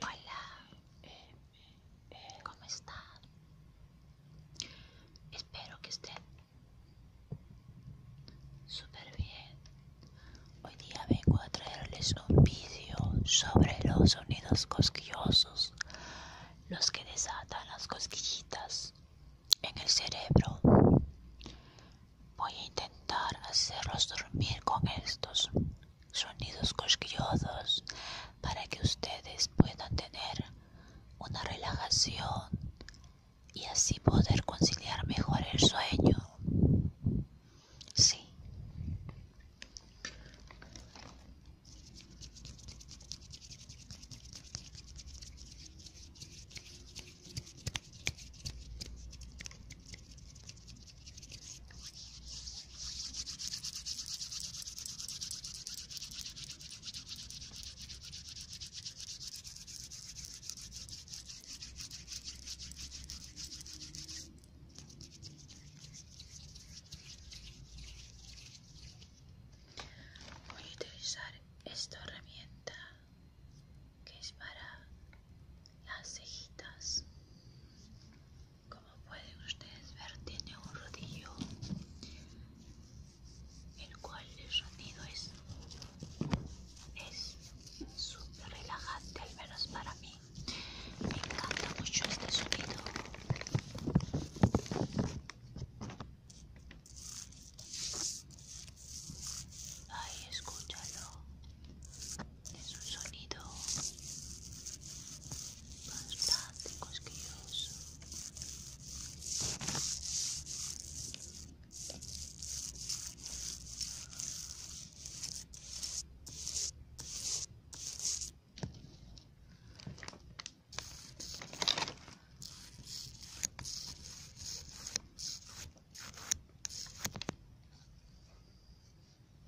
Hola, eh, eh, ¿cómo están? Espero que estén súper bien. Hoy día vengo a traerles un vídeo sobre los sonidos cosquillosos, los que desatan las cosquillitas en el cerebro. Voy a intentar hacerlos dormir con estos sonidos cosquillosos para que ustedes puedan tener una relajación y así poder conciliar mejor el sueño. Sí. Voy a utilizar esta herramienta que es para las cejitas como pueden ustedes ver tiene un rodillo el cual el sonido es es súper relajante al menos para mí me encanta mucho este sonido ahí escúchalo es un sonido bastante cosquilloso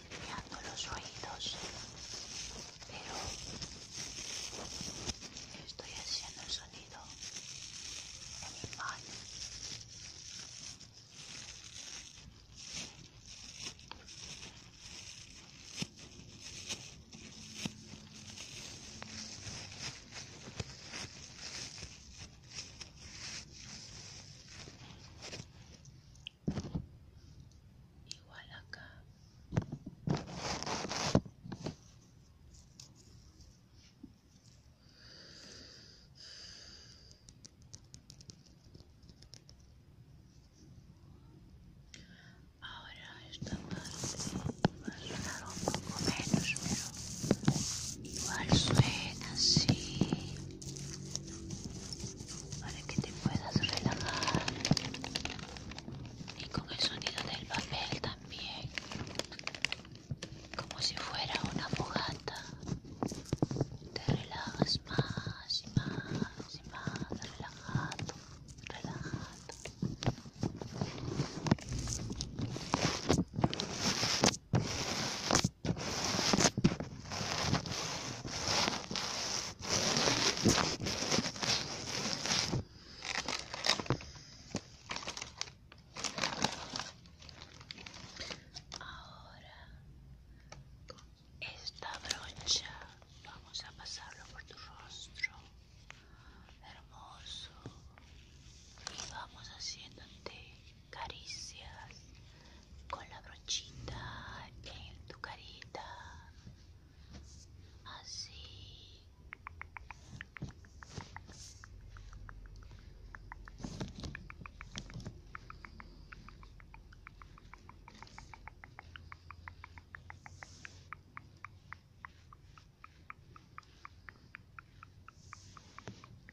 golpeando los oídos, pero estoy haciendo el sonido en mi igual acá ahora está más va a sonar un poco menos pero igual suena así para que te puedas relajar y con el sonido del papel también como si fuera una fogata te relajas más y más y más relajado relajado Ahora con esta brocha vamos a pasarlo por tu rostro hermoso y vamos haciéndote caricias con la brochita en tu carita. Así.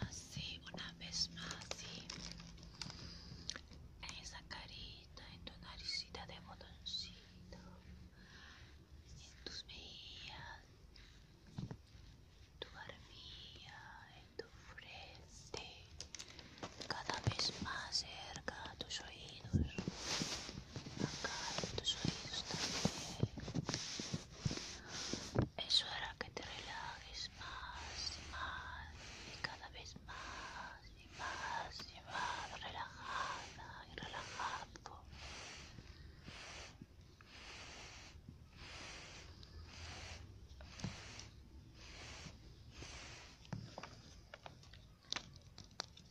Así, una vez más, así. En esa carita, en tu naricita de botoncito, en tus mejillas, tu barbilla, en tu frente, cada vez más cerca a tus oídos. acá tus oídos también. Eso hará que te relajes más y más y cada vez más y más y más relajada y relajado.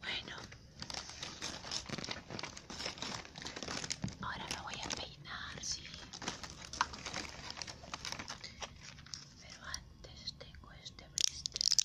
Bueno, ahora lo voy a peinar, sí. Pero antes tengo este blister.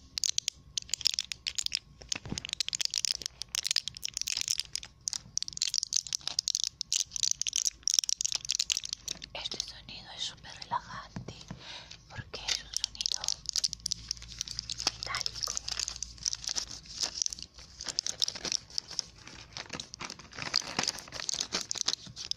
Este sonido es súper relajante porque es un sonido metálico.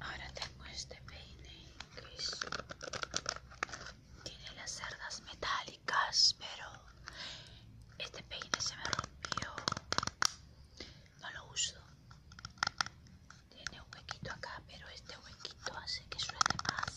Ahora tengo este peine que tiene las cerdas metálicas, pero este peine se me rompió. No lo uso. Tiene un huequito acá, pero este huequito hace que suene más.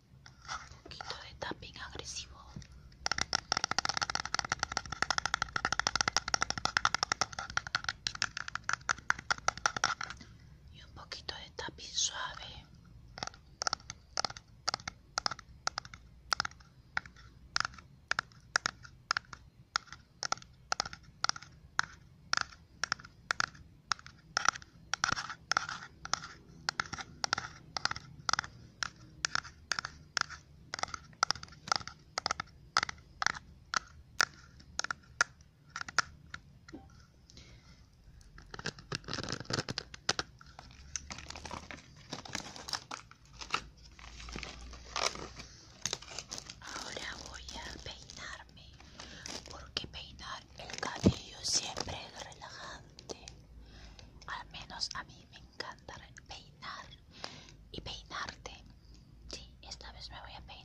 un poquito de tapping agresivo y un poquito de tapping suave Ahora voy a peinarme porque peinar el cabello siempre es relajante, al menos a mí me encanta peinar y peinarte. Sí, esta vez me voy a peinar.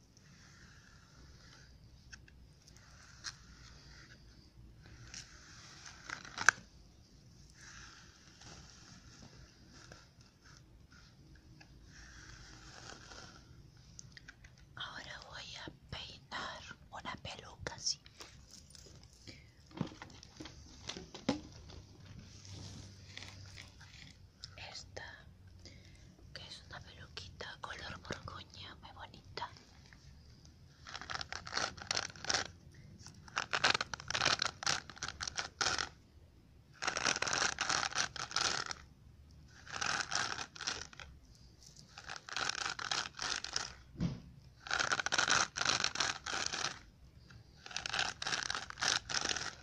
Ahora voy a peinar una peluca así esta que es una peluquita color morgoña, muy bonita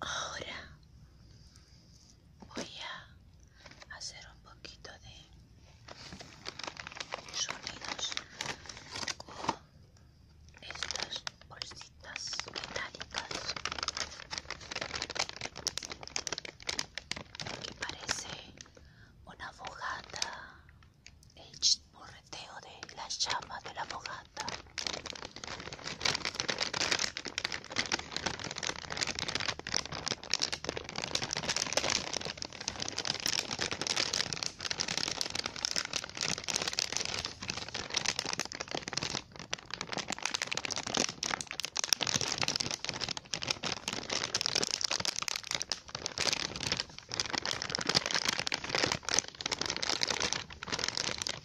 Ahora voy a hacer un poquito de sonidos con estas bolsitas metálicas que parece una fogata hecha Teo de la llamas de la fogata.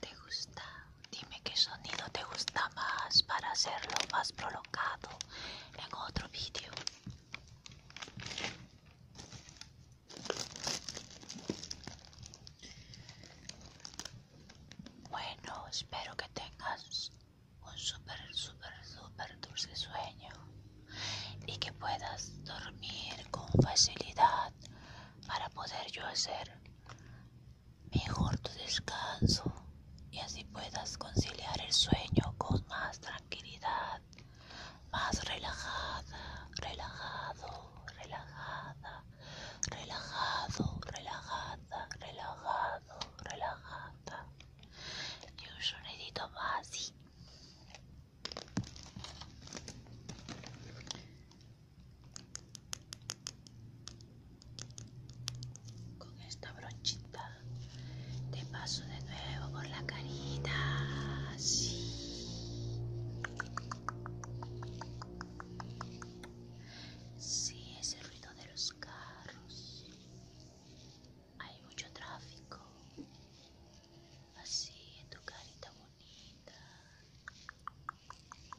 ¿Te gusta? Dime qué sonido te gusta más para hacerlo más prolongado en otro vídeo. Bueno, espero que tengas un súper, súper, súper dulce sueño y que puedas dormir con facilidad para poder yo hacer mejor tu descanso y así puedas conciliar el sueño con más tranquilidad, más relajada, relajado, relajada, relajado, relajada, relajado, relajada. Y un más con esta brochita te paso de nuevo por la carita sí sí ese ruido de los carros hay mucho tráfico así en tu carita bonita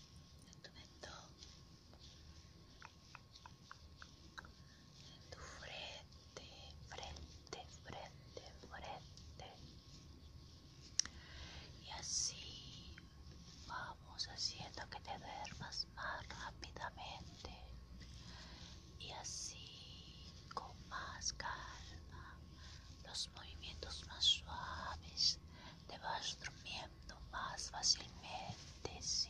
en tu mento, en tu frente, frente, frente, frente. Y así vamos haciendo que te duermas más rápidamente. Y así con más calma, los movimientos más suaves te vas durmiendo más fácilmente, sí.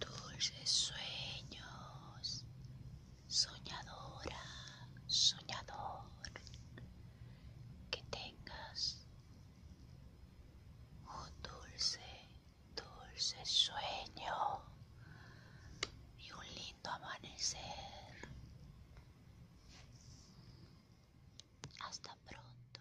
Dulces sueños, soñadora, soñador, que tengas un dulce, dulce sueño y un lindo amanecer. Hasta pronto.